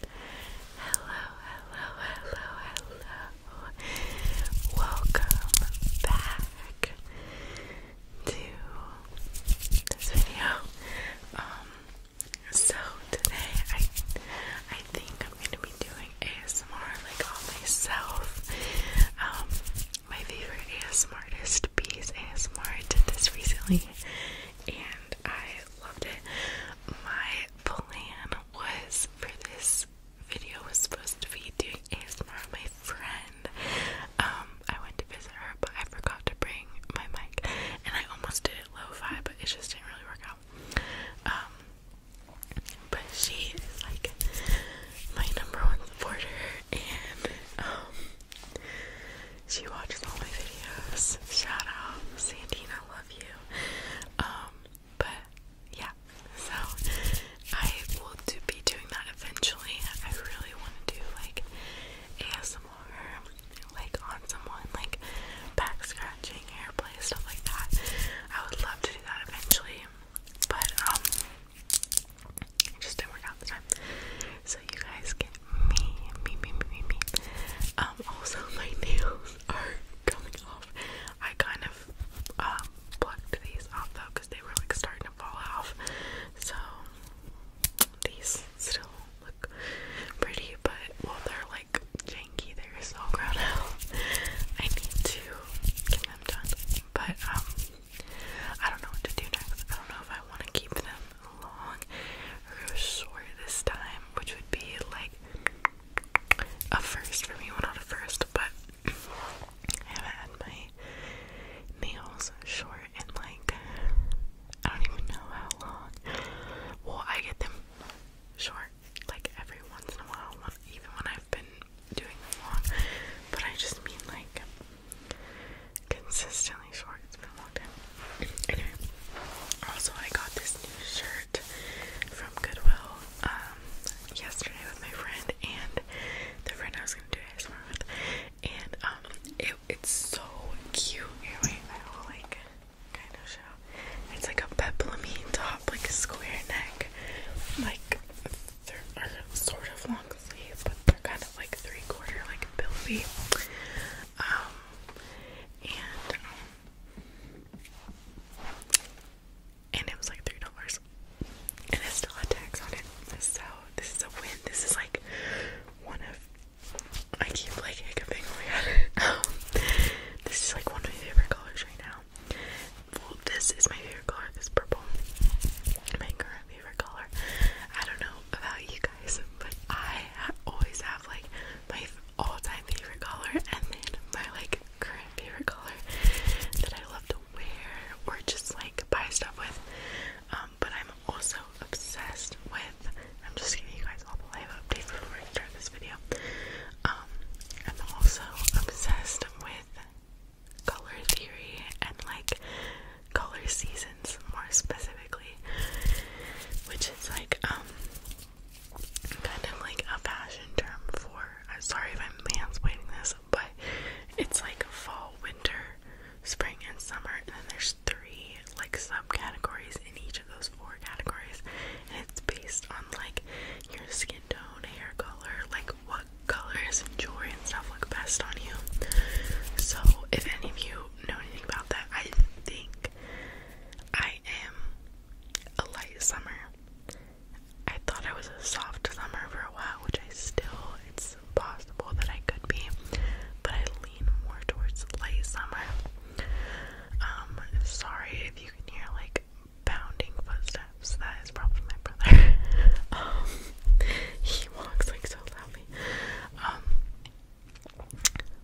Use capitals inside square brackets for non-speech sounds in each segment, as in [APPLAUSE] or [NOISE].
Hello, hello, hello, hello. Welcome back to this video. Um so today I I think I'm gonna be doing ASMR like all myself. Um my favorite ASMR artist Bees ASMR I did this recently and I loved it my plan was for this video was supposed to be doing ASMR with my friend. Um, I went to visit her, but I forgot to bring my mic, and I almost did it lo-fi, but it just didn't really work out. Um, but she is like my number one supporter, and um, she watches all my videos. Shout out, Sandina, love you. Um, but yeah, so I will do, be doing that eventually. I really want to do like ASMR, like on someone, like back scratching, hairplay, stuff like that. I would love to do that eventually, but um, just didn't work out the time you guys get me, me, me, me, me, me. Um, also [LAUGHS] my nails are coming off. I kind of um, plucked these off though they were like starting to fall off. So these still look pretty, but well, they're like janky. They're so grown out. I need to get them done, but um, I don't know what to do next. I don't know if I want to keep them long or short this time, which would be like a first for me. one not a first, but I haven't had my nails short in like I don't even know how long. Well, I get them short like every once in a while, even when I've been doing them long. But I just mean like consistently short. It's been a long time. Anyway, also I got this new shirt from Goodwill um, yesterday with my friend and the friend I was gonna do this with, and um, it's so cute. wait, I will like kind of show. It's like a peplumine top, like a square neck, like they're sort of long sleeves, but they're kind of like three quarter, like billowy. Um, and um, and it was like three dollars, and it still had tax on it. So this is a win. This is like one of I keep like hiccuping. Oh my [LAUGHS] um, this is like one of my favorite colors right now. this is my favorite color. This purple, my current favorite color. I don't know about you guys, but I always have like my all-time favorite color and then my like current favorite color that I love to wear or just like buy stuff with. Um, but I'm also obsessed with. I'm just giving you guys all the live updates before I start this video. Um, I'm also obsessed with color theory and like color seasons more specifically, which is like um kind of like a fashion term for. sorry if I'm mansplaining this, but it's like fall, winter, spring, and summer, and then there's three like subcategories in each of those four categories, and it's based on like your skin tone, hair color, like what colors and jewelry and stuff look best on you. So if any of you know anything about that. I think I am a light summer. I thought I was a soft summer for a while, which I still, it's possible that I could be, but I lean more towards light summer. Um, sorry if you can hear like pounding footsteps, that is probably my brother. [LAUGHS] um, he walks like so loudly. Um,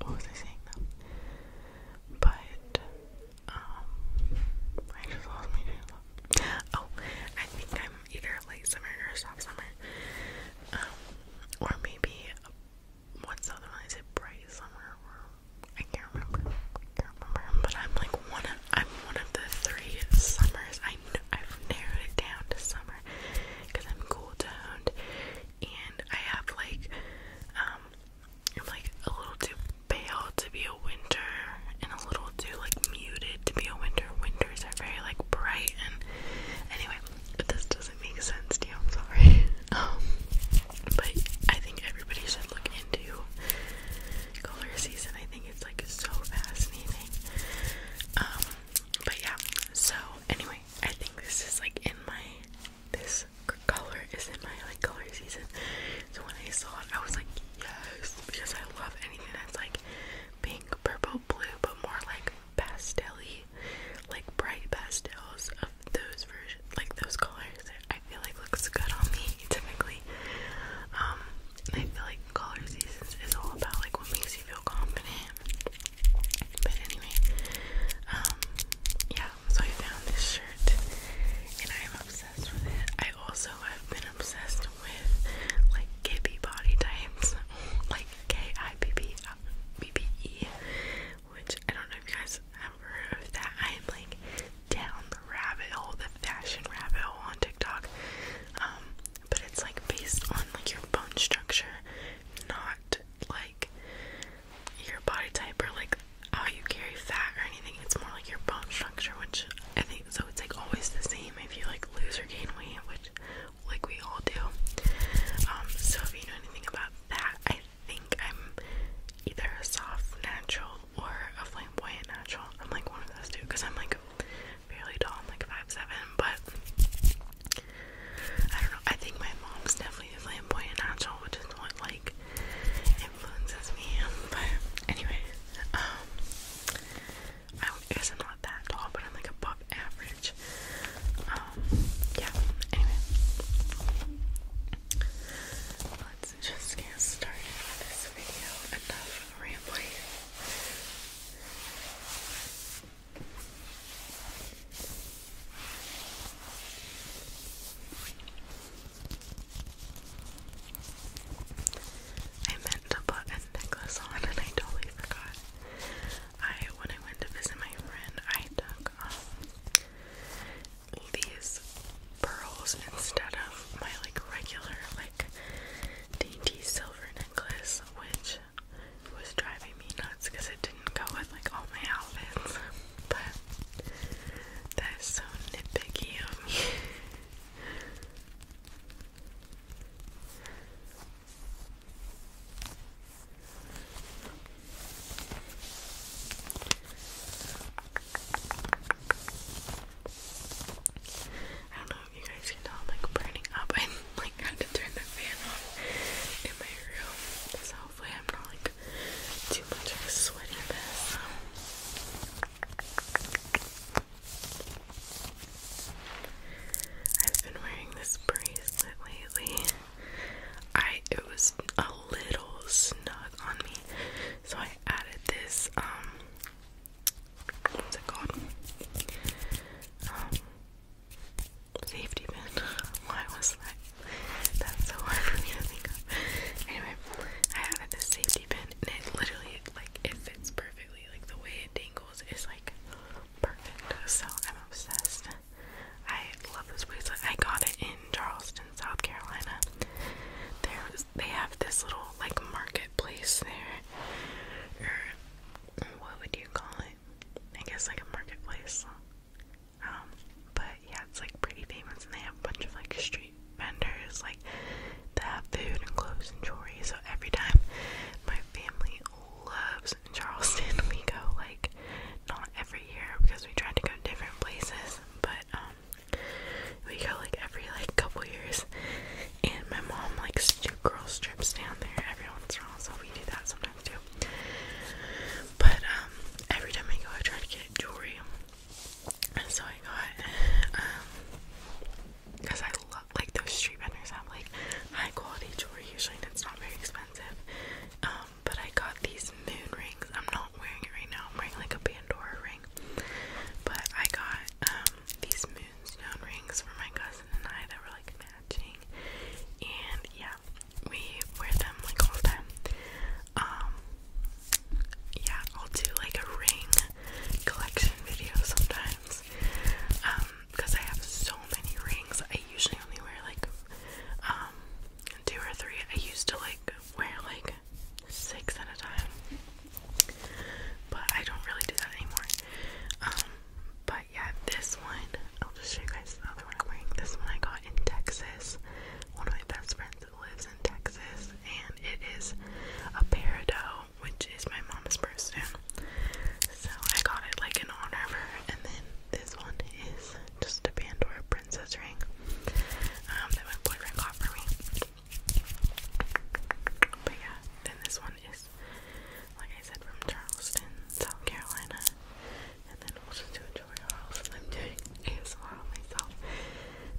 what was I saying But um, Oh, I think I'm either late summer or stop summer, um, or maybe what's other one? Is it bright summer? I can't remember. can't remember. But I'm like one. Of, I'm one of the three summers. I I've narrowed it down to summer because I'm cool toned and I have like um I'm like a little too pale to be a winter and a little too like muted to be a winter. Winters are very like bright and anyway, this doesn't make sense to sorry. [LAUGHS] um but I think everybody should look into color season. I think it's like so fascinating. Um but yeah, so anyway, I think this is like in my this color is in my like color season. So when I saw it, I was like, yes, because I love anything that's like pink, purple, blue, but more like pastelly, like bright pastels of those versions, like those colors. I feel like looks good on me typically. Um, I feel like color seasons is all about like what makes you feel confident. But anyway, um, yeah, so I found this shirt and I'm obsessed with it. I also have been obsessed with like Gibby body types, [LAUGHS] like K I B B B B E, which I don't know if you guys have heard of that. I am like down the rabbit hole, the fashion rabbit hole on TikTok. Um, but it's like based on like your bone structure, not like your body type or like how you carry fat or anything. It's more like your bone structure, which I think so. It's like always the same if you like lose or gain weight, which like we all do. Um, so if you know anything about that, I think I'm either a soft natural or a flamboyant natural. I'm like one of those two because I'm like fairly tall. I'm like five seven, but I don't know. I think my mom's definitely flamboyant natural, which is what like influences me. But anyway, um, I guess I'm not that tall, but I'm like above average. Um, yeah. Anyway, let's just get started with this video. Enough rambling. I meant to put a necklace on and I totally forgot. I when I went to visit my friend, I took um these pearls instead of my like regular like dainty silver necklace, which it was driving me nuts because it didn't go with like all my outfits. But that is so nitpicky I don't know you guys can tell I'm like burning up. [LAUGHS] I like had to turn the fan off in my room. So hopefully I'm not like too much of a sweaty mess. I've been wearing this bracelet lately. I it was a little snug on me, so I added this um, what's it called? Um, safety pin. [LAUGHS] Why was that? so hard for me to think of. Anyway, I added this safety pin, and it literally like it fits perfectly. Like the way it dangles is like perfect. So I'm obsessed. I love this bracelet. I got it in Charleston, South Carolina. There was, they have this little like marketplace there, what would you call it? I guess like a marketplace. Um, but yeah, it's like pretty famous and they have a bunch of like street vendors, like they have food and clothes and jewelry. So every time my family loves Charleston, [LAUGHS] we go like not every year because we try to go different places, but um, we go like every like couple years and my mom likes to do girl strips down there every once in a while, so we do that sometimes too. But um, every time I go, I try to get jewelry. And so I got, um, because I love, like, those street vendors have, like, high quality jewelry usually, and it's not very expensive. Um, but I got these moon rings. I'm not wearing it right now, I'm wearing, like, a Pandora ring. But I got, um, these moonstone rings for my cousin and I that were like matching, and yeah, we wear them like all the time. Um, yeah, I'll do like a ring collection video sometimes. because um, I have so many rings, I usually only wear like um, two or three. I used to like wear like six at a time. But I don't really do that anymore. Um, but yeah, this one, I'll just show you guys the other one I'm wearing. This one I got in Texas. One of my best friends lives in Texas, and it is a peridot, which is my mom's birthstone. So I got it like in honor of her, and then this one is just a Pandora princess ring um, that my boyfriend got for me. But yeah, then this one is, like I said, from Charleston, South Carolina. And then we'll just do a I'm doing ASMR on myself.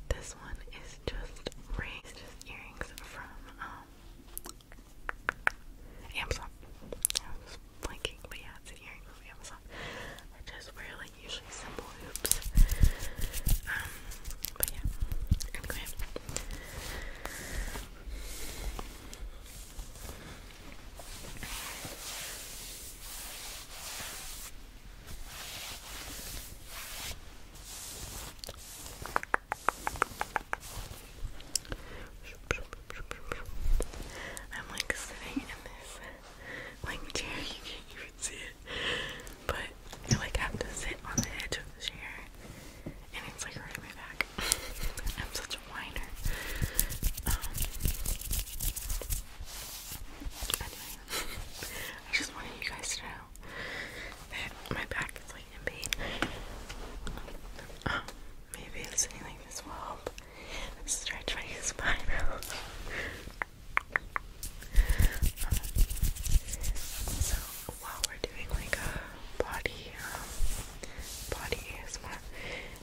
This one is just raised just earrings from um Amazon. I was blanking, but yeah, it's an from Amazon. I just wear like usually simple hoops. Um, but I'm like sitting in this like chair, you can't even see it but I like have to sit on the edge of the chair and it's like hurting my back. [LAUGHS] I'm such a whiner. Um, anyway, I just wanted you guys to know that my back is like in pain. Um, maybe it's anything like this will help my spine [LAUGHS] so while we're doing like a body, um, body ASMR,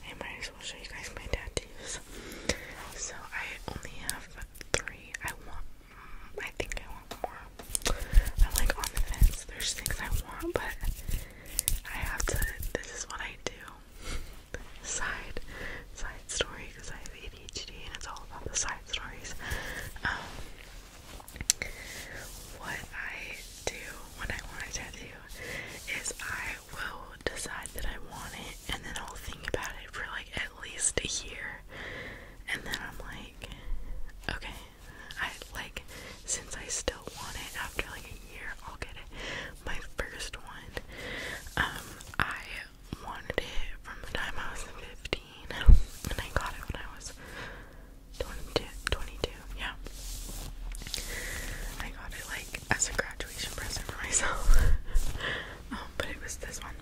I might as well show you guys my tattoos. So I only have three. I want, mm, I think I want more. I'm like on the fence. There's things I want, but I have to. This is what I do. Side, side story because I have ADHD and it's all about the side stories. Um, what I do when I want a tattoo is I will decide that I want it and then I'll think about it for like at least a year and then I'm like, okay, I like since I still want it after like a year, I'll get it. My first one, um, I wanted it from the time I was 15, and I got it when I was 22, 22, yeah. I got it, like, as a graduation present for myself, [LAUGHS] um, but it was this one.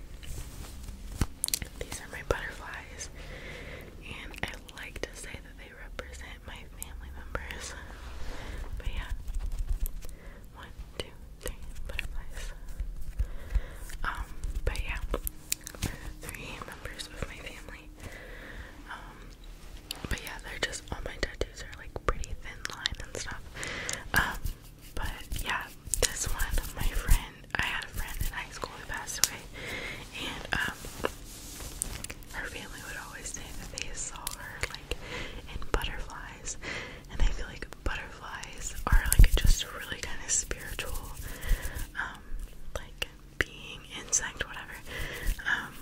These are my butterflies, and I like to say that they represent my family members, but yeah. One, two, three butterflies. Um, but yeah, three members of my family. Um, but yeah, they're just all my tattoos are like pretty thin line and stuff. Um, but yeah, this one, my friend, I had a friend in high school who passed away, and um, her family would always say that they saw her like in butterflies, and I feel like butterflies are like just really kind of spiritual, um, like being, insect, whatever. Um,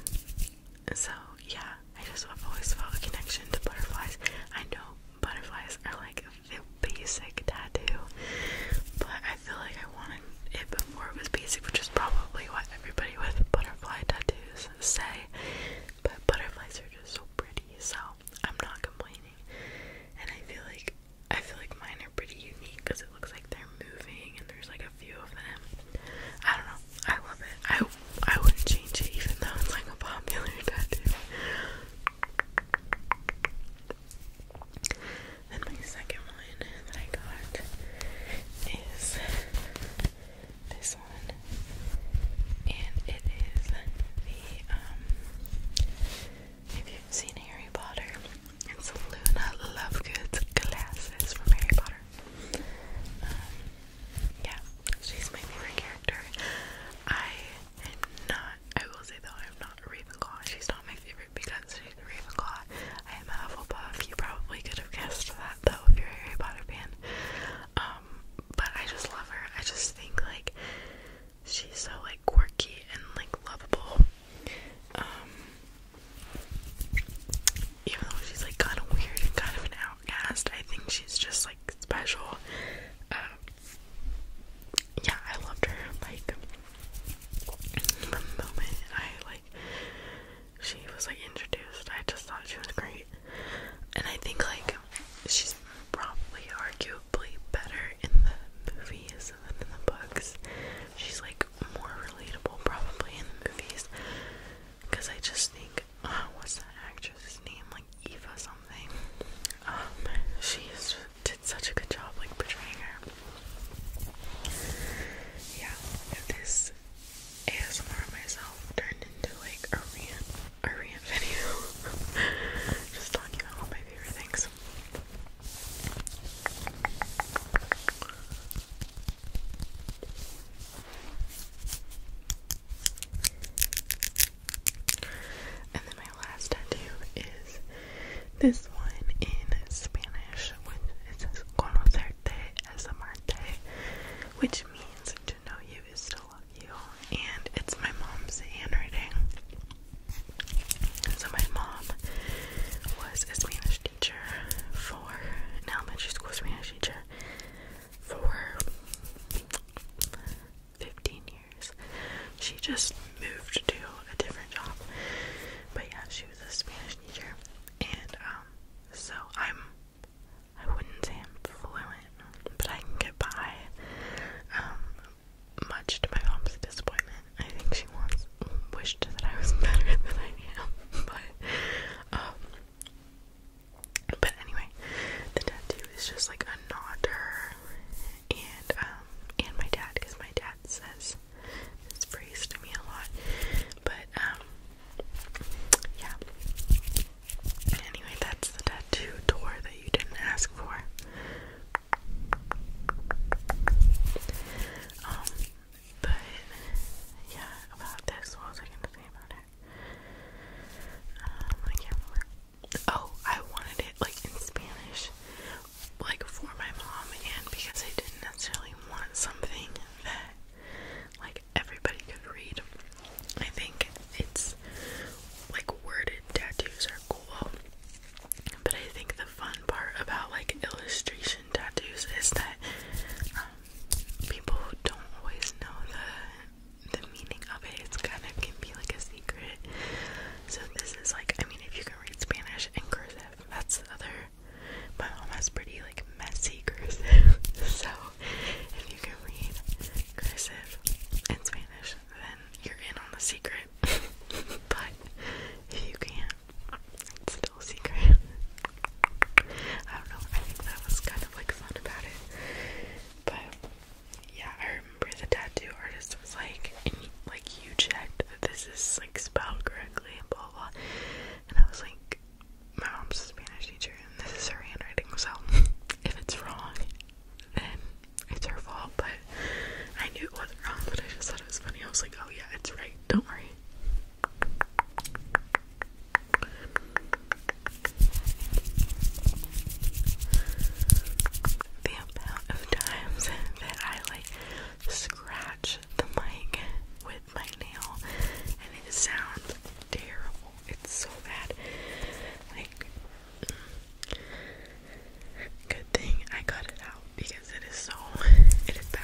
so yeah, I just have always felt a connection to butterflies. I know butterflies are like a basic tattoo, but I feel like I wanted it before it was basic, which is probably what everybody with butterfly tattoos say. But butterflies are just so pretty, so I'm not complaining. And I feel like I feel like mine are pretty unique because it looks like they're moving and there's like a few of them. I don't know. I love it. I I wouldn't change it even though it's like a popular [LAUGHS] tattoo. Then my second one that I got is this one, and it is um, if you've seen Harry Potter, it's Luna Lovegood's glasses from Harry Potter. Um, yeah, she's my favorite character. I am not, I will say though, I'm not a Ravenclaw. She's not my favorite because she's a Ravenclaw. I am a Hufflepuff. You probably could have guessed that though if you're Harry Potter fan. Um, but I just love her. I just think like she's so like quirky and like lovable. Um, even though she's like kind of weird and kind of an outcast, I think she's just like special. Um, yeah, I loved her like from the moment I like she was like introduced. I just thought she was great. And I think like she's probably arguably better in the movies than in the books. She's like more relatable probably in the movies. Cause I just think oh, what's that actress's name? Like Eva something. Um, she is, did such a good job like portraying her. Yeah, if this ASMR myself turned into like a rant a rant video. [LAUGHS] Just talking about all my favorite things. And then my last tattoo is this one in Spanish, which says conocerte es amarte, which means to know you is to and it's my mom's handwriting. So my mom was a Spanish teacher for elementary school Spanish teacher for 15 years. She just moved to a different job. But yeah, she was a Spanish teacher. And um, so I'm I wouldn't say I'm fluent, but I can get by. Um, much to my mom's disappointment, I think she once wished that I was [LAUGHS] better than I am. But um, but anyway, the tattoo is just like a knotter, and um, and my dad, because my dad says this phrase to me a lot, but um, yeah. Anyway, that's the tattoo door that you didn't ask for. Um, but yeah, about this, what was I gonna say about it? I can't remember. Oh, I wanted it like in Spanish, like for my mom, and because I didn't necessarily want something that like everybody could read. I think it's like worded tattoos are cool. But I think the fun part about like illustration tattoos is that um, people don't always know the the meaning of it. It's kind of can be like a secret. So this is like I mean if you can read Spanish and cursive, that's other my mom has pretty like messy [LAUGHS] cursive. so if you can read cursive in Spanish, then you're in on the secret. [LAUGHS] but if you can't, it's still secret. [LAUGHS] I don't know, I think that was kind of like fun about it. But yeah, I remember the tattoo artist was like, like you checked that this is like spelled correctly and blah blah. And I was like, my mom's a Spanish teacher and this is her handwriting, so if it's wrong, then it's her fault. But I knew it wasn't wrong, but I just thought it was funny. I was like, oh yeah, it's right, don't worry. The amount of times that I like scratch the mic with my nail and it sounds terrible. It's so bad. good thing I cut it out because it is so, it is bad.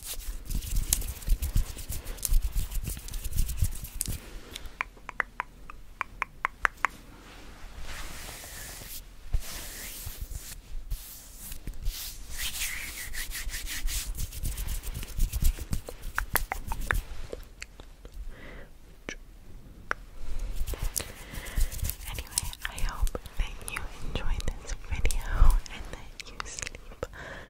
Anyway, I hope that you enjoyed this video and that you sleep